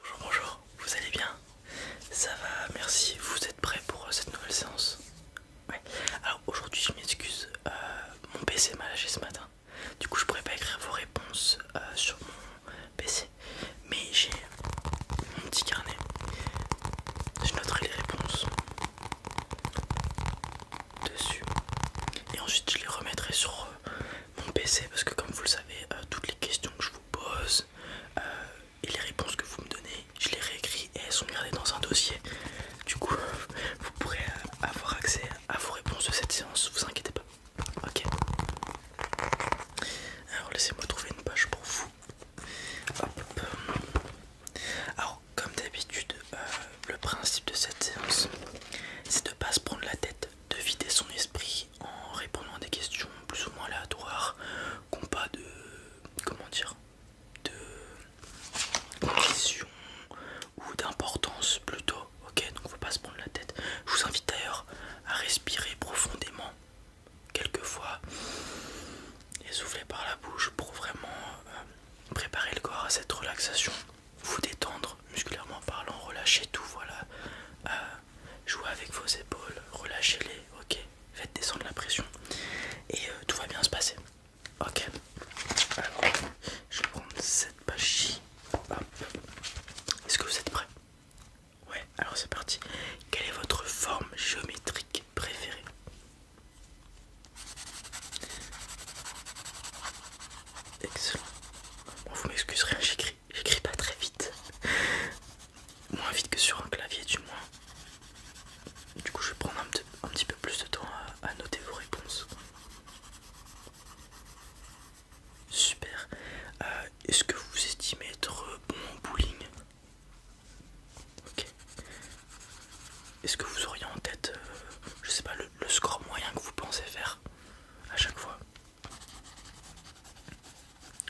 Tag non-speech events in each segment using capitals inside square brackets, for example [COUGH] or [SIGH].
Bonjour, bonjour, vous allez bien Ça va, merci, vous êtes prêts pour euh, cette nouvelle séance Ouais, alors aujourd'hui je m'excuse, euh, mon PC m'a lâché ce matin, du coup je pourrais pas écrire vos réponses euh, sur mon PC, mais j'ai mon petit carnet, je noterai les réponses dessus et ensuite je les remettrai sur mon PC parce que comme vous le savez, euh, toutes les questions que je vous pose euh, et les réponses que vous me donnez, je les réécris et elles sont gardées dans un dossier. Du coup, [LAUGHS] vous pourrez euh, avoir accès à vos réponses de cette séance, vous inquiétez pas. Ok. Alors laissez-moi trouver une page pour vous. Hop, Alors comme d'habitude, le principe de cette séance, c'est de ne pas se prendre la tête, de vider son esprit en répondant à des questions plus ou moins aléatoires, qui pas de. comment dire de condition ou d'importance plutôt. Ok, donc on faut pas se prendre la tête. Je vous invite d'ailleurs à respirer profondément quelquefois fois et souffler par la bouche pour vraiment euh, préparer le corps à cette relaxation vous détendre musculairement parlant, relâchez tout, voilà. Euh, jouez avec vos épaules, relâchez-les, ok. Faites descendre la pression et euh, tout va bien se passer. Ok. Alors, je vais prendre cette page Est-ce que vous êtes prêts Ouais, alors c'est parti. Quelle est votre forme géométrique préférée Excellent. vous m'excuserez, hein, j'écris, j'écris pas très vite. Moins vite que sur un clavier, du moins. Du coup, je vais prendre un, petit, peu plus de temps à, noter vos réponses. Super. Euh, est-ce que vous estimez être bon en bowling Ok. Est-ce que vous auriez en tête, euh, je sais pas, le score moyen que vous pensez faire à chaque fois.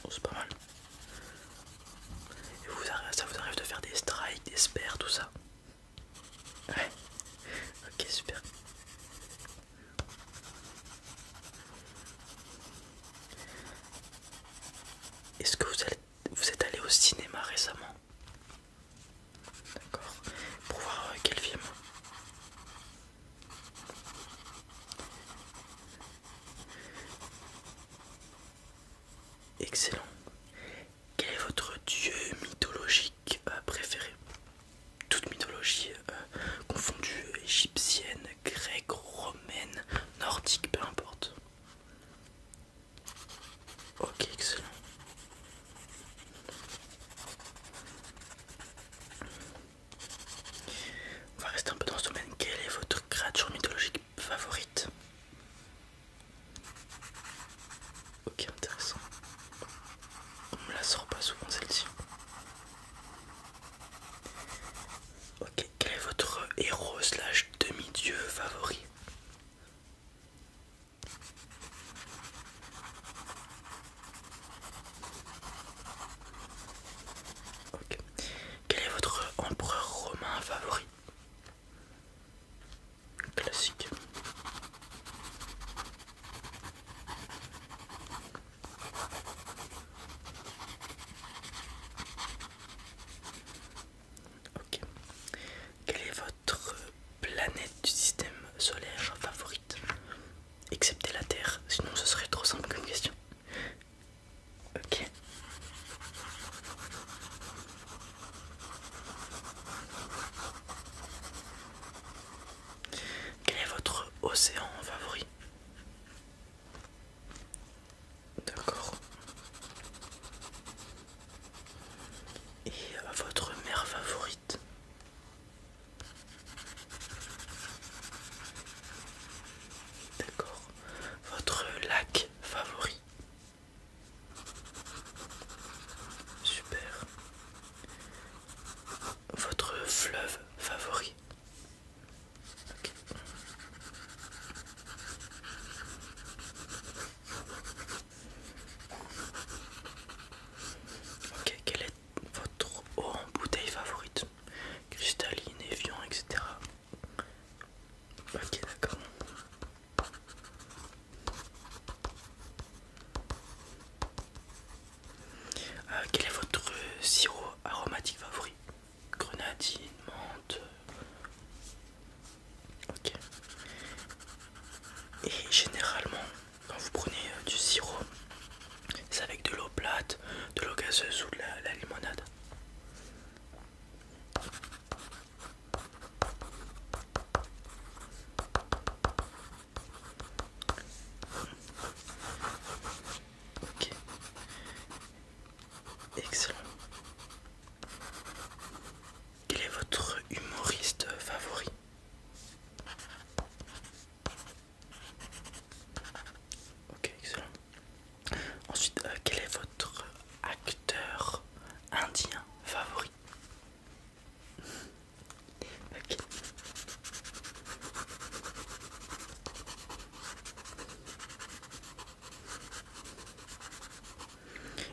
Oh, c'est pas mal. vous, ça vous arrive de faire des strikes, des spares, tout ça Ok, super. Est-ce que vous vous êtes allé au cinéma récemment D'accord. Pour voir euh, quel film Excellent. Quel est votre dieu mythologique euh, préféré Toute mythologie euh, confondue, égyptienne, grecque, romaine, nordique, peu importe. Ok, excellent. On va rester un peu dans ce domaine. Quelle est votre créature mythologique favorite Ok, intéressant. On me la sort pas souvent celle-ci. Ok, quel est votre héros slash demi-dieu favori quel est votre empereur romain favori Classique. Ok. Quel est votre planète du système solaire favorite Excepté la Terre, sinon ce serait trop simple comme question. Ok. Quel est votre océan favori D'accord et euh, votre mer favorite. D'accord. Votre lac favori. Super. Votre fleuve favori. Ok, quelle est votre eau en bouteille favorite Cristalline, Evian, etc. Ok, d'accord. Euh, quel est votre sirop aromatique favori Grenadine, menthe Ok. Et généralement, quand vous prenez euh, du sirop, c'est avec de l'eau plate, de l'eau gazeuse ou de la, limonade. Excellent. Quel est votre humoriste favori Ok, excellent. Ensuite, euh, quel est votre acteur indien favori Ok.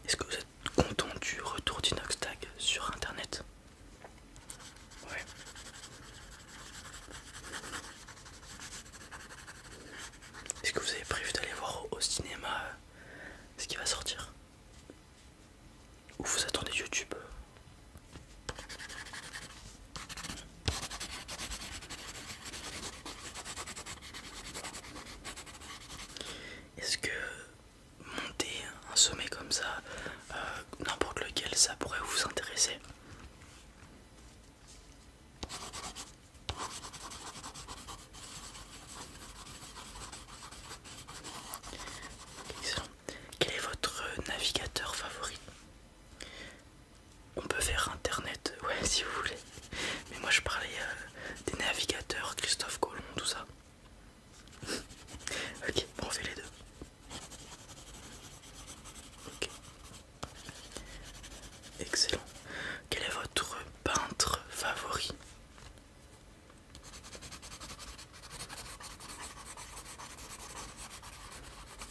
Est-ce que vous êtes content du retour Tag sur internet Ouais. Est-ce que vous avez prévu d'aller voir au cinéma euh, ce qui va sortir Ou vous attendez YouTube est-ce que monter un sommet comme ça, euh, n'importe lequel, ça pourrait vous intéresser Excellent. Quel est votre navigateur favori on peut faire internet, euh, ouais, [LAUGHS] si vous voulez. Mais moi je parlais euh, des navigateurs, Christophe Colomb, tout ça. [LAUGHS] ok, on fait les deux. Ok. Excellent. Quel est votre peintre favori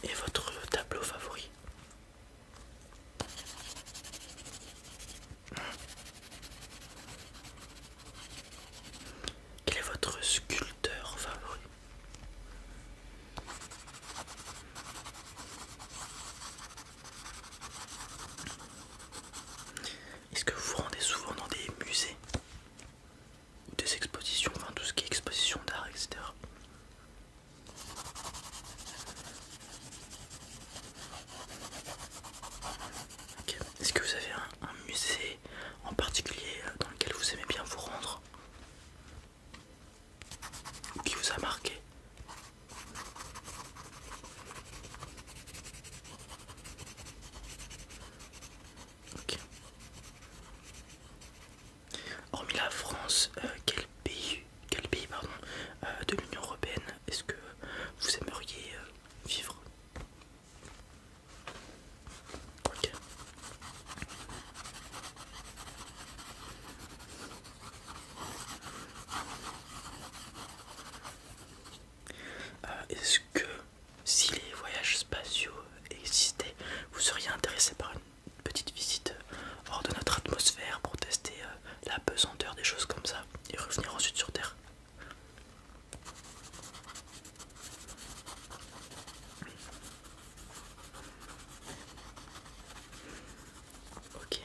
Et votre tableau favori quel est votre sculpteur favori Est-ce que vous vous rendez souvent dans des musées ou des expositions, enfin tout ce qui est exposition d'art, etc. Est-ce que vous avez un, musée en particulier euh, dans lequel vous aimez bien vous rendre qui vous a marqué Hormis la France, euh, quel pays, quel pays euh, de l'Union Européenne est-ce que vous aimeriez euh, vivre Est-ce que si les voyages spatiaux existaient, vous seriez intéressé par une petite visite euh, hors de notre atmosphère pour tester euh, la pesanteur des choses comme ça et revenir ensuite sur Terre. Ok.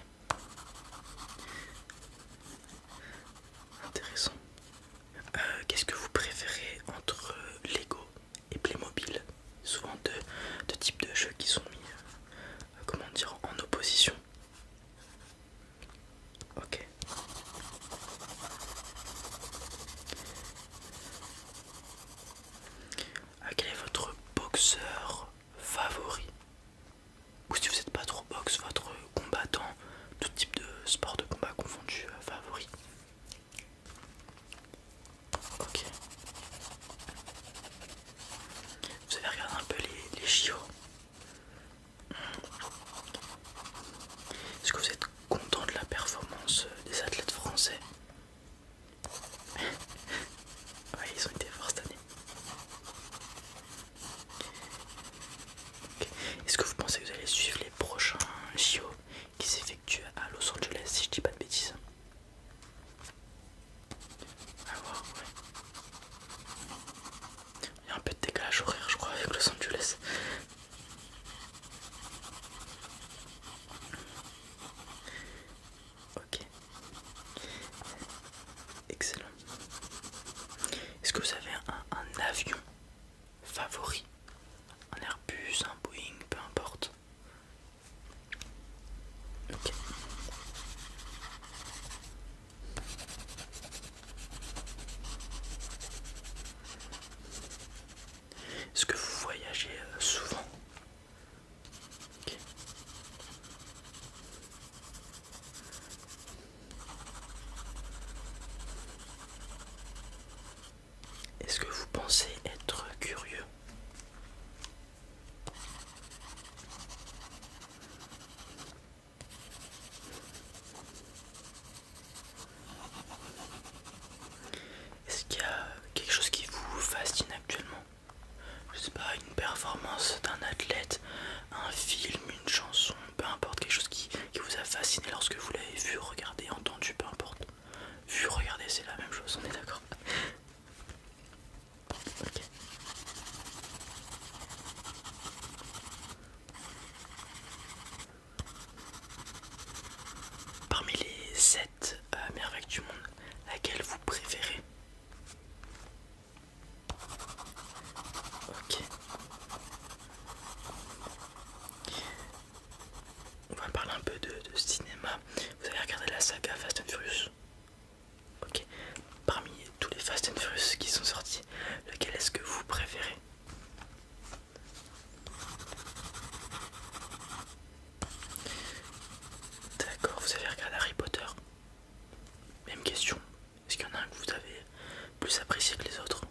Intéressant. Euh, qu'est-ce que vous préférez entre Lego et Playmobil, souvent deux, types de jeux qui sont mis euh, comment dire, en opposition. Ok. Euh, quel est votre boxeur favori Ou si vous n'êtes pas trop boxe, votre combattant, tout type de sport de combat confondu euh, favori Ok. Vous avez regardé un peu les, les JO. Est-ce que vous êtes content de la performance des athlètes français [LAUGHS] ils ont été forts cette année. Est-ce que vous pensez que vous allez suivre les prochains JO qui s'effectue à Los Angeles, si je dis pas de bêtises. Il y a un peu de décalage horaire, je crois, avec Los Angeles. Ok. Excellent. Est-ce que vous avez un avion favori Un Airbus, un Boeing, peu importe. Est-ce que vous voyagez euh, souvent est-ce que vous pensez être curieux Est-ce qu'il y a quelque chose qui vous fascine actuellement Je sais pas, une performance d'un athlète, un film, une chanson, peu importe, quelque chose qui, qui vous a fasciné lorsque vous l'avez vu, regardé, entendu, peu importe je regardez, c'est la même chose, on est d'accord. Parmi les 7 euh, merveilles du monde, laquelle vous préférez Ok on va parler un peu de, cinéma. Vous avez regardé la saga Fast and Furious Ok. Parmi tous les Fast and Furious qui sont sortis, lequel est-ce que vous préférez D'accord, vous avez regardé Harry Potter Même question. Est-ce qu'il y en a un que vous avez plus apprécié que les autres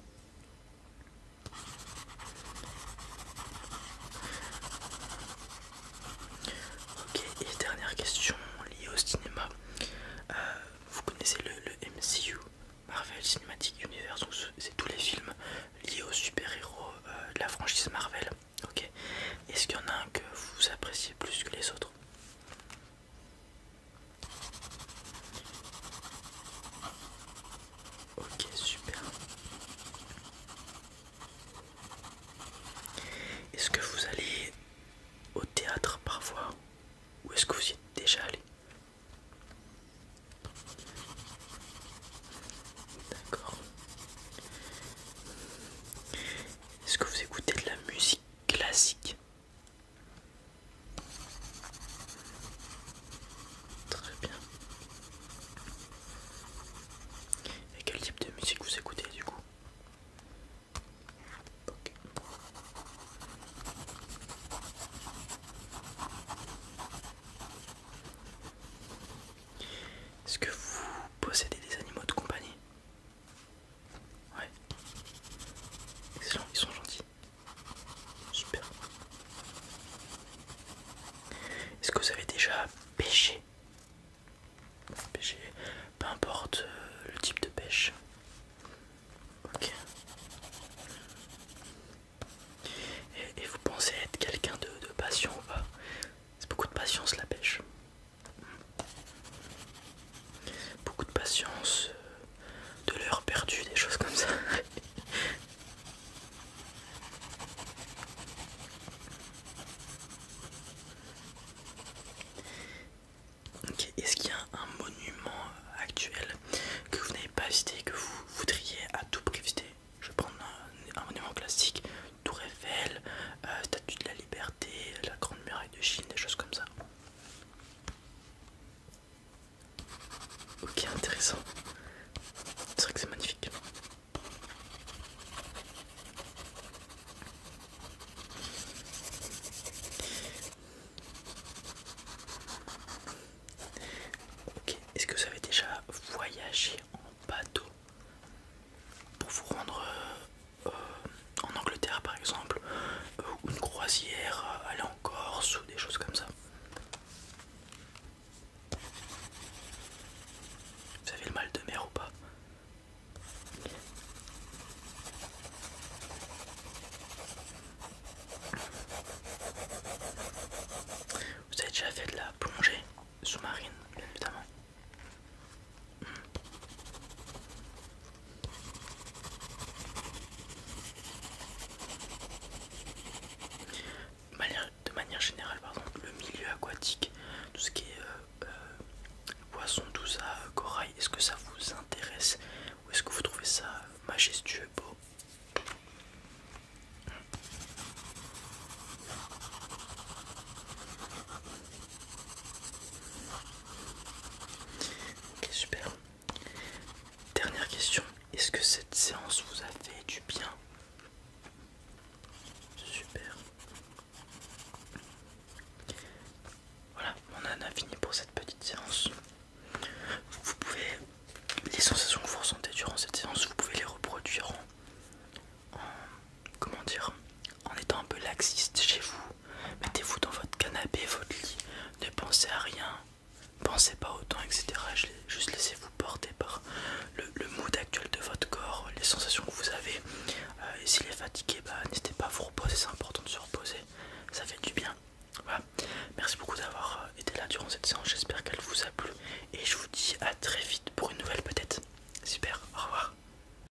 Ok, et dernière question liée au cinéma. Euh, vous connaissez le, MCU, Marvel Cinematic Universe, c'est tous les films liés aux super-héros euh, de la franchise Marvel. Ok, est-ce qu'il y en a un que vous appréciez plus que les autres Ok, super. Est-ce que vous allez au théâtre parfois ou est-ce que vous y êtes déjà allé D'accord. Est-ce que vous écoutez de la musique classique Très bien. Et quel type de musique vous écoutez du coup Est-ce que vous possédez des animaux de compagnie Ouais. Excellent, ils sont gentils. Super. Est-ce que vous avez déjà pêché Pêché, peu importe euh, le type de pêche. Ok. Et, vous pensez être quelqu'un de, de patient ou pas C'est beaucoup de patience la pêche beaucoup de patience, euh, de l'heure perdue, des choses comme ça. [LAUGHS] Est-ce qu'il y a un monument actuel que vous n'avez pas visité que vous voudriez à tout prix visiter Je vais prendre un, monument classique, Tour Eiffel, euh, Statue de la Liberté, la Grande Muraille de Chine, des choses comme ça. Ok, intéressant. C'est vrai que c'est magnifique. Ok, est-ce que vous avez déjà voyagé en bateau pour vous rendre euh, euh, en Angleterre par exemple, ou euh, une croisière, euh, aller en Corse ou des choses comme ça. Vous avez le mal de mer ou pas vous avez déjà fait de la plongée sous-marine, bien évidemment. De manière, générale, pardon, le milieu aquatique, tout ce qui est euh, euh, poisson, tout ça, euh, corail, est-ce que ça vous intéresse ou est-ce que vous trouvez ça majestueux, beau Ok, super. Dernière question. Est-ce que cette séance vous a fait du bien Super. Voilà, on en a fini pour cette petite séance. Vous pouvez, les sensations que vous ressentez durant cette séance, vous pouvez les reproduire en comment dire, en étant un peu laxiste chez vous, Mettez-vous dans votre canapé, votre lit, ne pensez à rien, pensez pas au temps, etc. juste laissez-vous porter par le, le mood actuel de votre corps, les sensations que vous avez. Euh, et s'il est fatigué, bah, n'hésitez pas à vous reposer, c'est important de se reposer, ça fait du bien. Voilà. Merci beaucoup d'avoir euh, été là durant cette séance, j'espère qu'elle vous a plu. Et je vous dis à très vite pour une nouvelle peut-être. Super, au revoir.